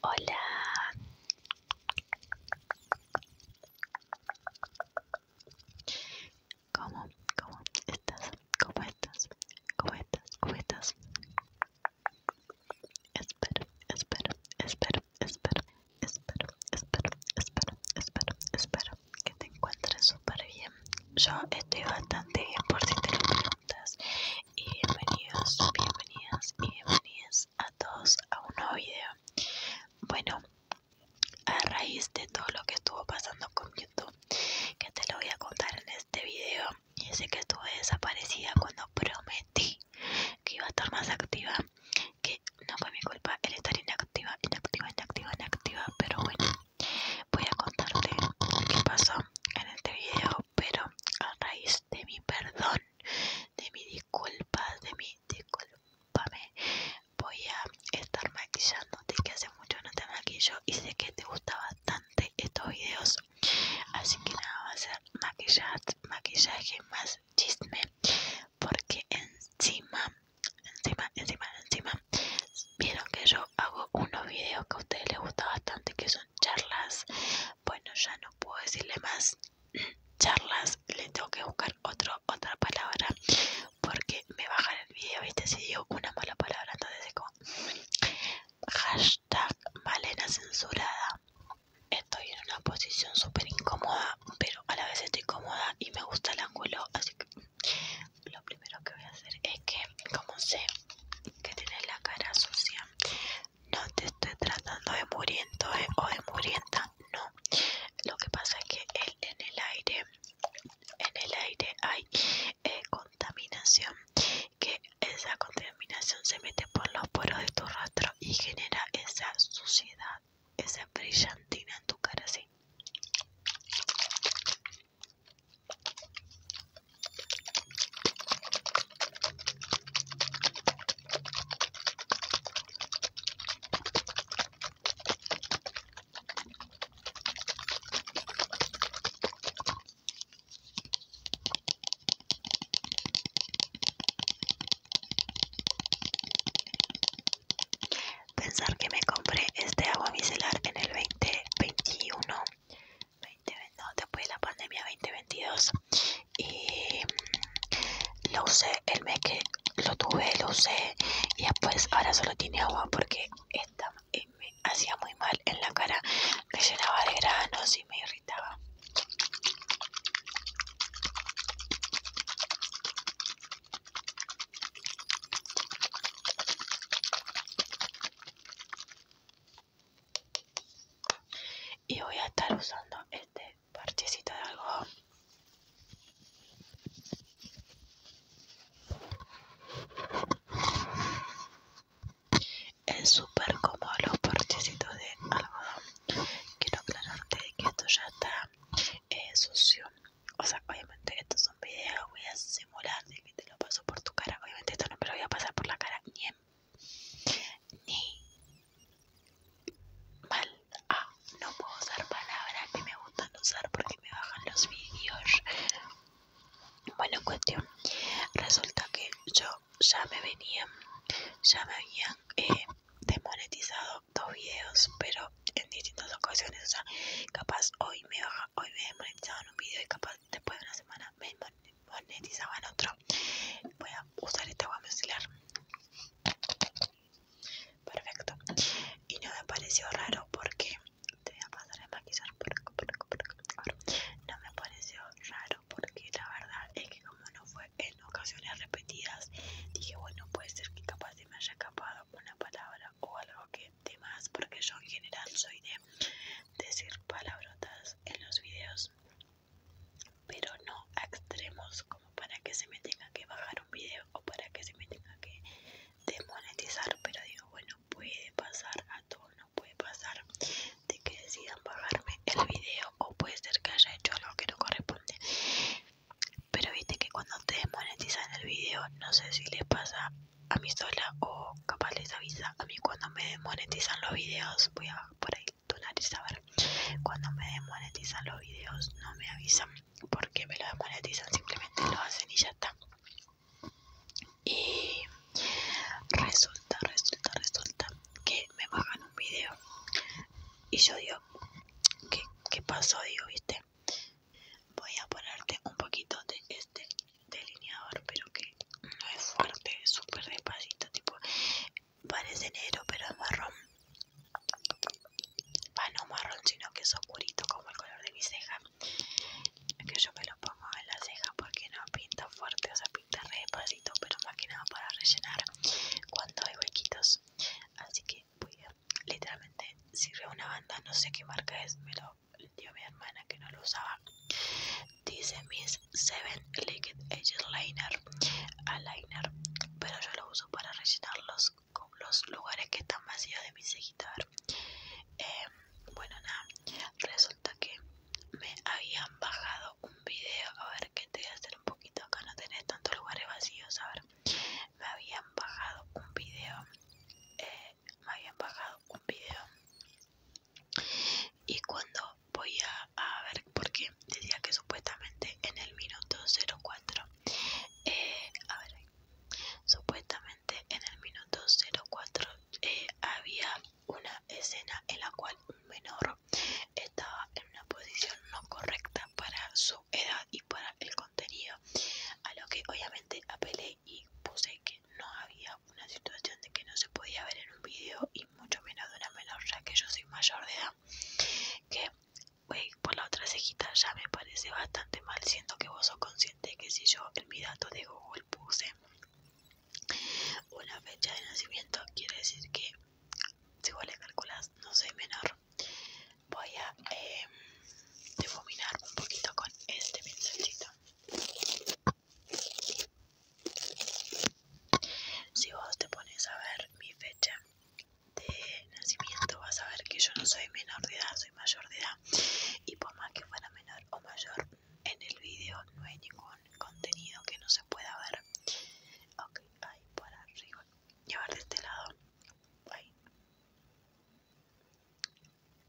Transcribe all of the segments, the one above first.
Hola. ¿Cómo? ¿Cómo estás? ¿Cómo estás? ¿Cómo estás? ¿Cómo estás? Espero, espero, espero, espero, espero, espero, espero, espero, que te encuentres súper bien. Yo estoy bastante bien por si te lo preguntas y bienvenidos, bienvenidas bienvenidas a todos a un nuevo video. Bueno, a raíz de todo lo que estuvo pasando con YouTube, que te lo voy a contar en este video, y sé que estuve desaparecida cuando prometí que iba a estar más activa, que no fue mi culpa el estar inactiva, inactiva, inactiva, inactiva, pero bueno, voy a contarte qué pasó en este video pero a raíz de mi perdón, de mi disculpa, de mi disculpame, voy a estar maquillándote que hace mucho no te maquillo y sé que te gusta bastante estos videos. Así que nada, va a ser maquillaje, maquillaje más chisme, porque encima, encima, encima, encima, vieron que yo hago unos videos que a ustedes les gusta bastante, que son charlas bueno, ya no puedo decirle más charlas, le tengo que buscar otro, otra palabra porque me bajan el video, viste, si dio una mala palabra, entonces es como hashtag Malena censurada. Estoy en una posición súper incómoda, pero a la vez estoy cómoda y me gusta el ángulo, así que lo primero que voy a hacer es que, como sé que tienes la cara sucia. No te estoy tratando de muriento eh, o de murienta, no. Lo que pasa es que en el aire, en el aire hay eh, contaminación, que esa contaminación se mete por los poros de tu rostro y genera esa suciedad, esa brillantina en tu cara, sí. Pensar que me compré este agua micelar en el 2021 después de la pandemia 2022 y mm, lo usé el mes que lo tuve, lo usé y después ahora solo tiene agua porque esta eh, me hacía muy mal en la cara, me llenaba de granos y me irritaba y voy a estar usando este parchecito de algodón es súper cómodo los parchecitos de algodón quiero aclararte que esto ya está eh, sucio o sea obviamente que estos son videos voy a simular te lo paso por tu cara. Obviamente esto no me lo voy a pasar por la cara ni mal. Ah, no puedo usar palabras que me gustan usar porque me bajan los vídeos. Bueno, cuestión. Resulta que yo ya me venían, ya me habían eh, desmonetizado dos videos, pero en distintas ocasiones. O sea, capaz hoy me baja, hoy me un video y capaz después de una semana me en otro. Voy a usar este agua micelar. Perfecto. Y no me pareció raro porque te voy a pasar a maquillar por No me pareció raro porque la verdad es que como no fue en ocasiones repetidas, dije bueno puede ser que capaz de me haya escapado una palabra o algo que demás porque yo en general soy de decir palabrotas en los videos pero no extremos como para que se me tenga que bajar un video o para que se me tenga que desmonetizar pero digo bueno puede pasar a todo no puede pasar de que decidan bajarme el video o puede ser que haya hecho algo que no corresponde pero viste que cuando te desmonetizan el video no sé si les pasa a mí sola o capaz les avisa a mí cuando me monetizan los videos voy a por ahí tunar a ver cuando me demonetizan los videos no me avisan porque me lo demonetizan simplemente lo hacen y ya está y resulta resulta resulta que me bajan un video y yo digo ¿qué, qué pasó digo viste voy a ponerte un poquito de este delineador pero que no es fuerte, es súper despacito, tipo parece negro pero es marrón. Ah, no marrón, sino que es oscurito como el color de mi ceja. que yo me lo pongo en la ceja porque no pinta fuerte, o sea, pinta despacito, pero más que nada para rellenar cuando hay huequitos. Así que voy a, literalmente, sirve una banda, no sé qué marca es, me lo mi hermana que no lo usaba. Dice Miss Seven Liquid Edge Liner, Eyeliner, pero yo lo uso para rellenar los lugares que están vacíos de mi cejita. Eh, bueno, nada, resulta que me habían bajado un video. A ver, que te voy a hacer un poquito acá, no tenés tantos lugares vacíos. A ver, me habían bajado un video. Eh, me habían bajado un video y cuando voy a, ver ver qué, decía que supuestamente en el minuto 04 eh, supuestamente en el minuto 04 eh, había una escena en la cual un menor estaba en una posición no correcta para su edad y para el contenido a lo que obviamente apelé y puse que no había una situación de que no se podía ver en un vídeo y mucho menos de una menor, ya que yo soy mayor de edad. Que por la otra cejita ya me parece bastante mal, Siento que vos sos consciente que si yo en mi dato de Google puse una fecha de nacimiento, quiere decir que si vos le calculas no soy menor voy a em, difuminar un poquito con este pincelcito. Si vos te pones a ver mi fecha de nacimiento, vas a ver que yo no soy menor de edad, soy mayor de edad. Y por más que fuera menor o mayor, en el vídeo no hay ningún contenido que no se pueda ver. Ok, ahí por arriba. Y de este lado.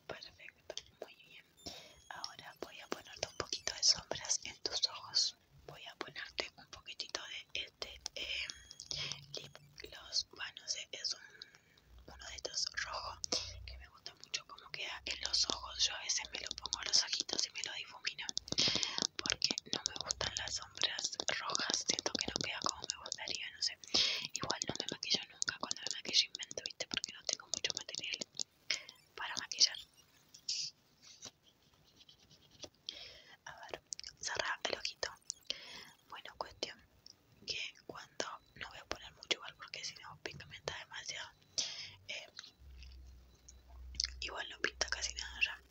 Perfecto, muy bien. Ahora voy a ponerte un poquito de sombras en tus ojos. Voy a ponerte un poquitito de este em, lip gloss. Bueno, es uno de estos rojo que me gusta mucho como queda en los ojos. Yo a veces me lo pongo en los ojitos y me lo difumino porque no me gustan las sombras rojas. Siento que no queda como me gustaría, no sé. Igual no me maquillo nunca cuando me maquillo invento, viste, porque no tengo mucho material para maquillar. A ver, cerra el ojito. Bueno, cuestión que cuando no voy a poner mucho igual porque si no pigmenta demasiado. Eh, igual no pinta casi nada ya.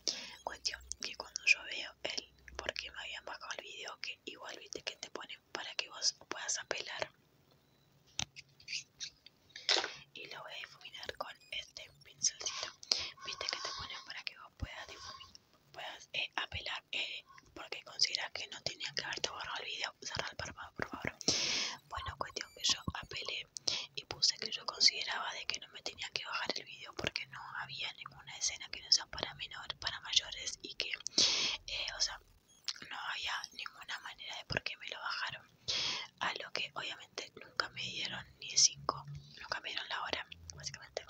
Cuestión que cuando yo veo el porque me habían bajado el video que igual viste que te ponen para que vos puedas apelar y lo voy a difuminar con este pincelcito viste que te ponen para que vos puedas difuminar puedas eh, apelar eh, porque consideras que no tenía que haberte borrado el video cerrar el párpado por favor bueno cuestión que yo apelé y puse que yo consideraba de que no me tenía que bajar el video porque no había ninguna escena que no sea para menores para, mayores y que, eh, o sea, no había ninguna manera de por qué me lo bajaron. A lo que obviamente nunca me dieron ni 5, nunca me dieron la hora, básicamente.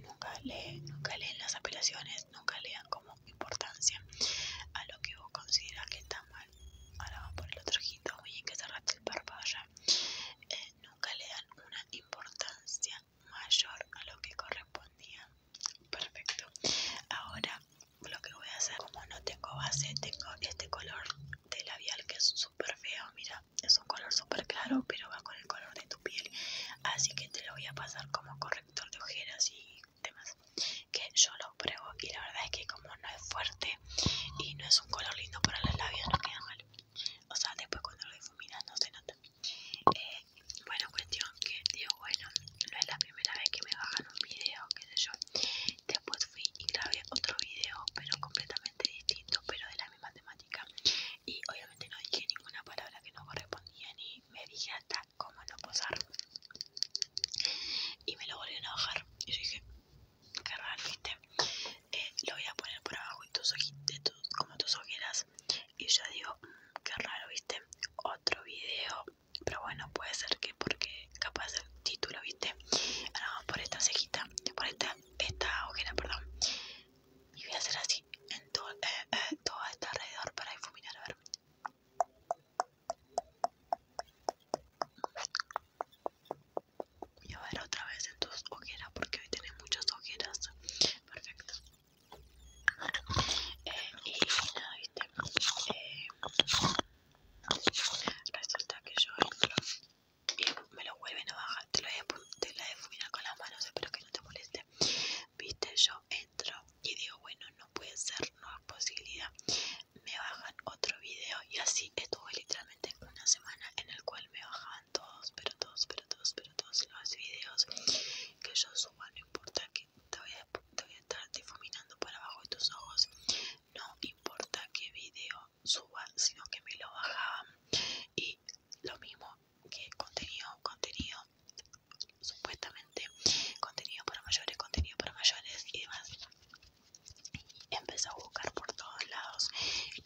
Nunca leen, nunca las apelaciones, nunca le dan como importancia a lo que vos consideras que está mal. Ahora vamos por el otro ojito, oye, que se el barba eh, nunca le dan una importancia mayor a lo que correspondía. Perfecto. Ahora lo que voy a hacer, como no tengo base, tengo este color de labial que es súper feo. Mira, es un color súper claro, pero va con el color de tu piel. Así que te lo voy a pasar como corrector de ojeras y demás. Que yo lo pruebo y la verdad es que como no es fuerte y no es un color lindo para los labios, no queda mal. O sea, después cuando lo difuminas no se nota. Eh, bueno, cuestión que digo, bueno, no es la primera vez que me bajan un video, qué sé yo. Después fui y grabé otro video, pero completamente distinto, pero de la misma temática. Y obviamente no dije ninguna palabra que no correspondía, ni me dije hasta cómo no posar. Y me lo volvieron a bajar. Y yo dije, qué raro, viste. Eh, lo voy a poner por abajo y tus ojitos, como tus ojeras y yo digo, mm, que raro, viste, otro video. Pero bueno, puede ser que porque capaz el título, viste. Ahora vamos por esta cejita, por esta, esta ojera, perdón. Y voy a hacer así en todo, eh, eh todo este alrededor para difuminar, a ver y a ver otra vez en tus ojeras porque hoy tenés muchas ojeras perfecto eh, y nada viste eh, resulta que yo entro y me lo vuelven a bajar te lo voy a, te difuminar con las manos espero que no te moleste viste yo entro y digo bueno no puede ser no es posibilidad me bajan otro video y así estuve literalmente una semana en el cual me bajaban todos, pero todos, pero todos, pero todos los videos que yo suba, no importa que te voy a, estar difuminando para abajo de tus ojos, no importa qué video suba, sino que me lo bajaban y lo mismo que contenido, contenido supuestamente contenido para mayores, contenido para mayores y demás. Y a buscar por todos lados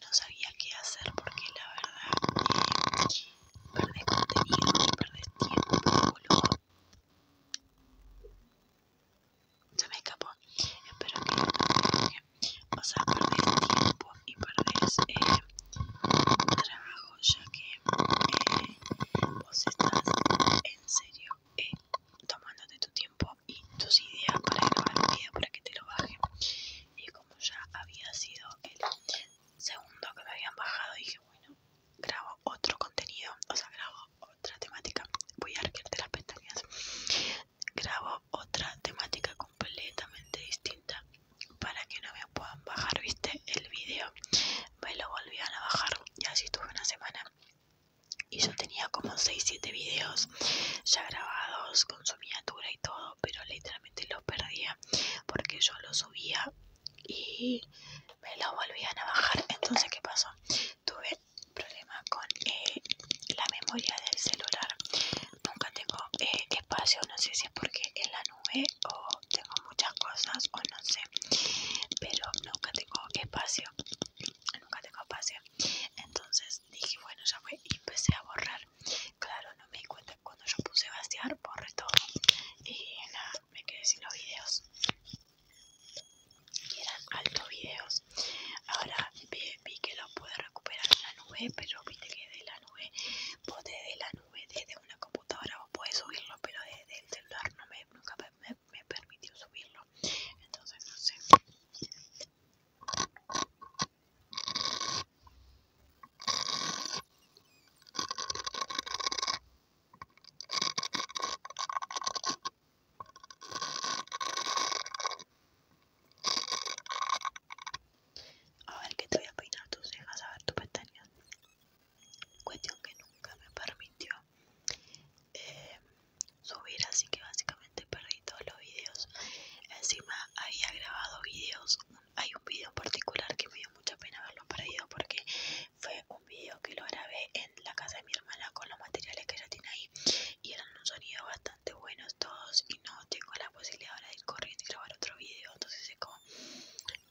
no sabía qué hacer porque la verdad perdes eh, perdés contenido y perdés tiempo, que Se me escapó. Espero que no O sea, perdes tiempo y perdes eh, trabajo, ya que eh, vos estás en serio eh, tomándote tu tiempo y tus ideas para grabar el video para que te lo baje y como ya había sido el segundo que me habían bajado dije bueno grabo otro contenido o sea grabo otra temática voy a arquearte las pestañas grabo otra temática completamente distinta para que no me puedan bajar viste el video me lo volvían a bajar y así estuve una semana y yo tenía como 6-7 videos ya grabados con su miniatura todo, pero literalmente lo perdía porque yo lo subía y me lo volvían a bajar. Entonces, ¿qué pasó? Tuve problema con eh, la memoria del celular. Nunca tengo eh, espacio, no sé si es porque en la nube o tengo muchas cosas o no sé, pero nunca tengo espacio. Nunca tengo espacio. Entonces dije bueno ya fue y empecé a borrar claro no me di cuenta cuando yo puse vaciar borré todo y nada me quedé sin los videos y eran altos videos ahora vi, que los pude recuperar en la nube pero viste que de la nube vos desde la nube desde una computadora vos podés subirlo pero desde el celular no nunca me, me permitió subirlo entonces no sé a ver qué te voy a peinar tus cejas, a ver tu pestañas. Cuestión que nunca me permitió eh, subir así que básicamente perdí todos los videos encima había grabado videos hay un vídeo en particular que me dio mucha pena haberlo perdido porque fue un vídeo que lo grabé en la casa de mi hermana con los materiales que ella tiene ahí y eran un sonido bastante buenos todos y no tengo la posibilidad ahora de ir corriendo y grabar otro vídeo entonces es como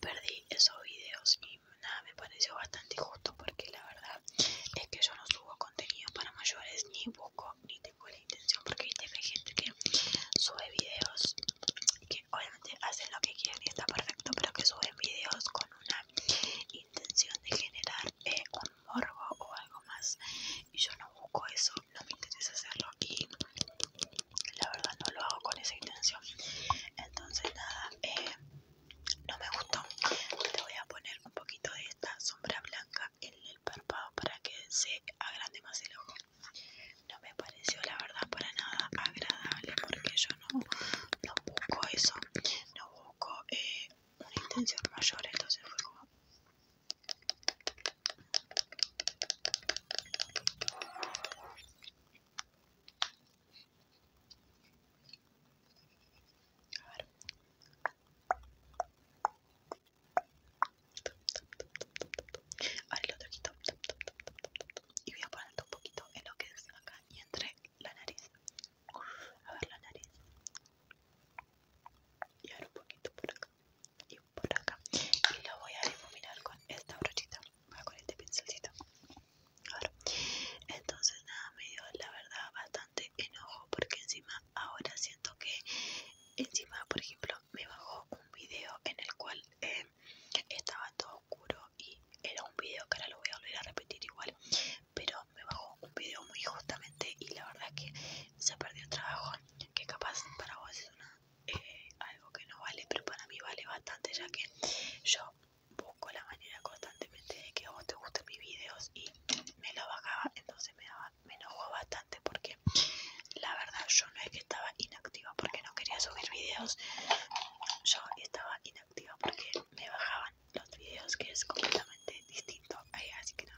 perdí esos vídeos y nada me pareció bastante injusto porque la verdad es que yo no subo contenido para mayores ni tampoco ni tengo la intención porque hay gente que sube videos que obviamente hacen lo que quiere y está perfecto pero que suben videos con una intención de generar eh, un morbo o algo más y yo no busco eso no me interesa hacerlo y la verdad no lo hago con esa intención entonces nada eh, no me gustó le voy a poner un poquito de esta sombra blanca en el para que se agrande más el ojo. No me pareció la verdad para nada agradable porque yo no, busco eso, no busco eh, una intención mayor, entonces fue como... A ver, Ahora el otro Y voy a poner un poquito en lo que es acá y entre la nariz. A ver la nariz. Y ahora un poquito por acá. Y por acá. Y lo voy a difuminar con esta brochita. Ah, con este pincelcito. Ahora. Entonces nada, me dio la verdad bastante enojo porque encima ahora siento que encima por ejemplo me bajó un video en el cual em, estaba todo oscuro y era un video que ahora lo voy a volver a repetir igual pero me bajó un video muy justamente y la verdad es que se perdió el trabajo que capaz para vos es eh, algo que no vale pero para mí vale bastante ya que yo busco la manera constantemente de que a vos te gusten mis videos y me lo bajaba, entonces me, daba, enojó bastante porque la verdad yo no es que estaba inactiva porque no quería subir videos, yo estaba inactiva porque me bajaban los videos que es completamente distinto, ahí, así que no.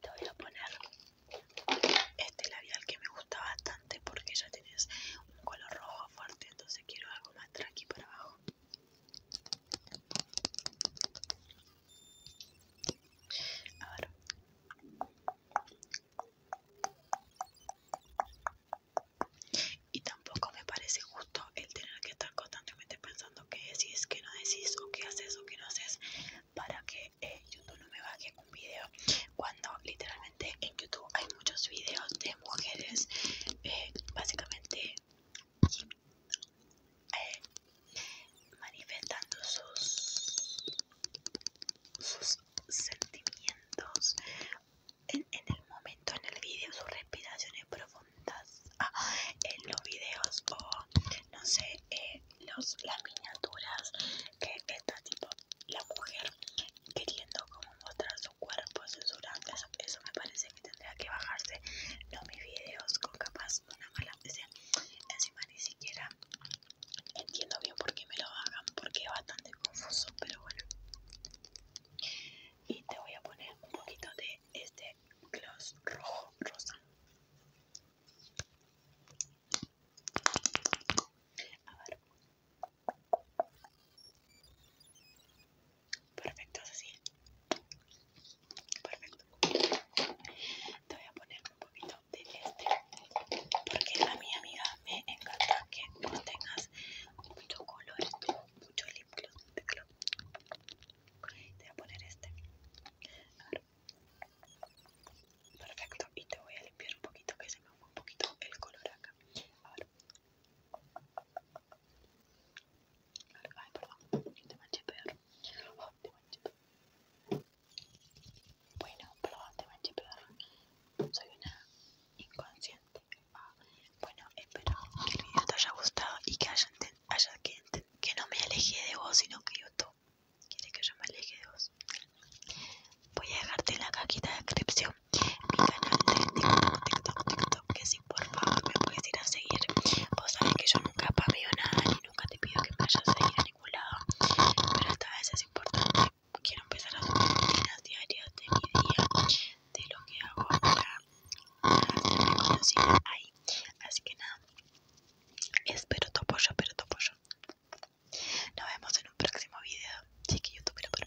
Te voy a poner este labial que me gusta bastante porque ya tienes un color rojo fuerte, entonces quiero algo más tranqui para abajo. Y tampoco me parece justo el tener que estar constantemente pensando qué decís, qué no decís, o qué haces, o qué no haces, para que eh, YouTube no me baje un video. Cuando literalmente en YouTube hay muchos videos de mujeres, eh, básicamente manifestando sus, sus sentimientos en, el momento, en el vídeo, sus respiraciones profundas ah, en los videos o no sé, eh, los, las miniaturas que está tipo la mujer queriendo como mostrar su cuerpo, censurando, eso me parece tendría que bajarse no mis vídeos con capaz una mala Encima ni siquiera entiendo bien por qué me lo hagan, porque es bastante confuso, pero bueno. Y te voy a poner un poquito de este gloss rojo rosa. A ver. Perfecto, así. Perfecto. Te voy a poner un poquito de este. Porque a mi amiga me encanta que no tengas mucho color, mucho lip gloss. Te voy a poner este. A ver. Perfecto. Y te voy a limpiar un poquito que se me fue un poquito el color acá. A Ay, perdón, te manché peor. te manché peor. Bueno, perdón, te manché peor. Soy una inconsciente. bueno, espero que el video te haya gustado y que haya, que, que no me aleje de vos, sino que YouTube quiere que yo me aleje de vos. Voy a dejarte en la cajita de descripción mi canal de TikTok, TikTok, TikTok, que si por favor me puedes ir a seguir. Vos sabés que yo nunca pameo nada y nunca te pido que me vayas a seguir a ningún lado, pero esta vez es importante. Quiero empezar a hacer rutinas diarias de mi día, de lo que hago para, ahí. Así que nada, espero tu apoyo, espero tu apoyo. Nos vemos en un próximo video. Chiqui, YouTube, pero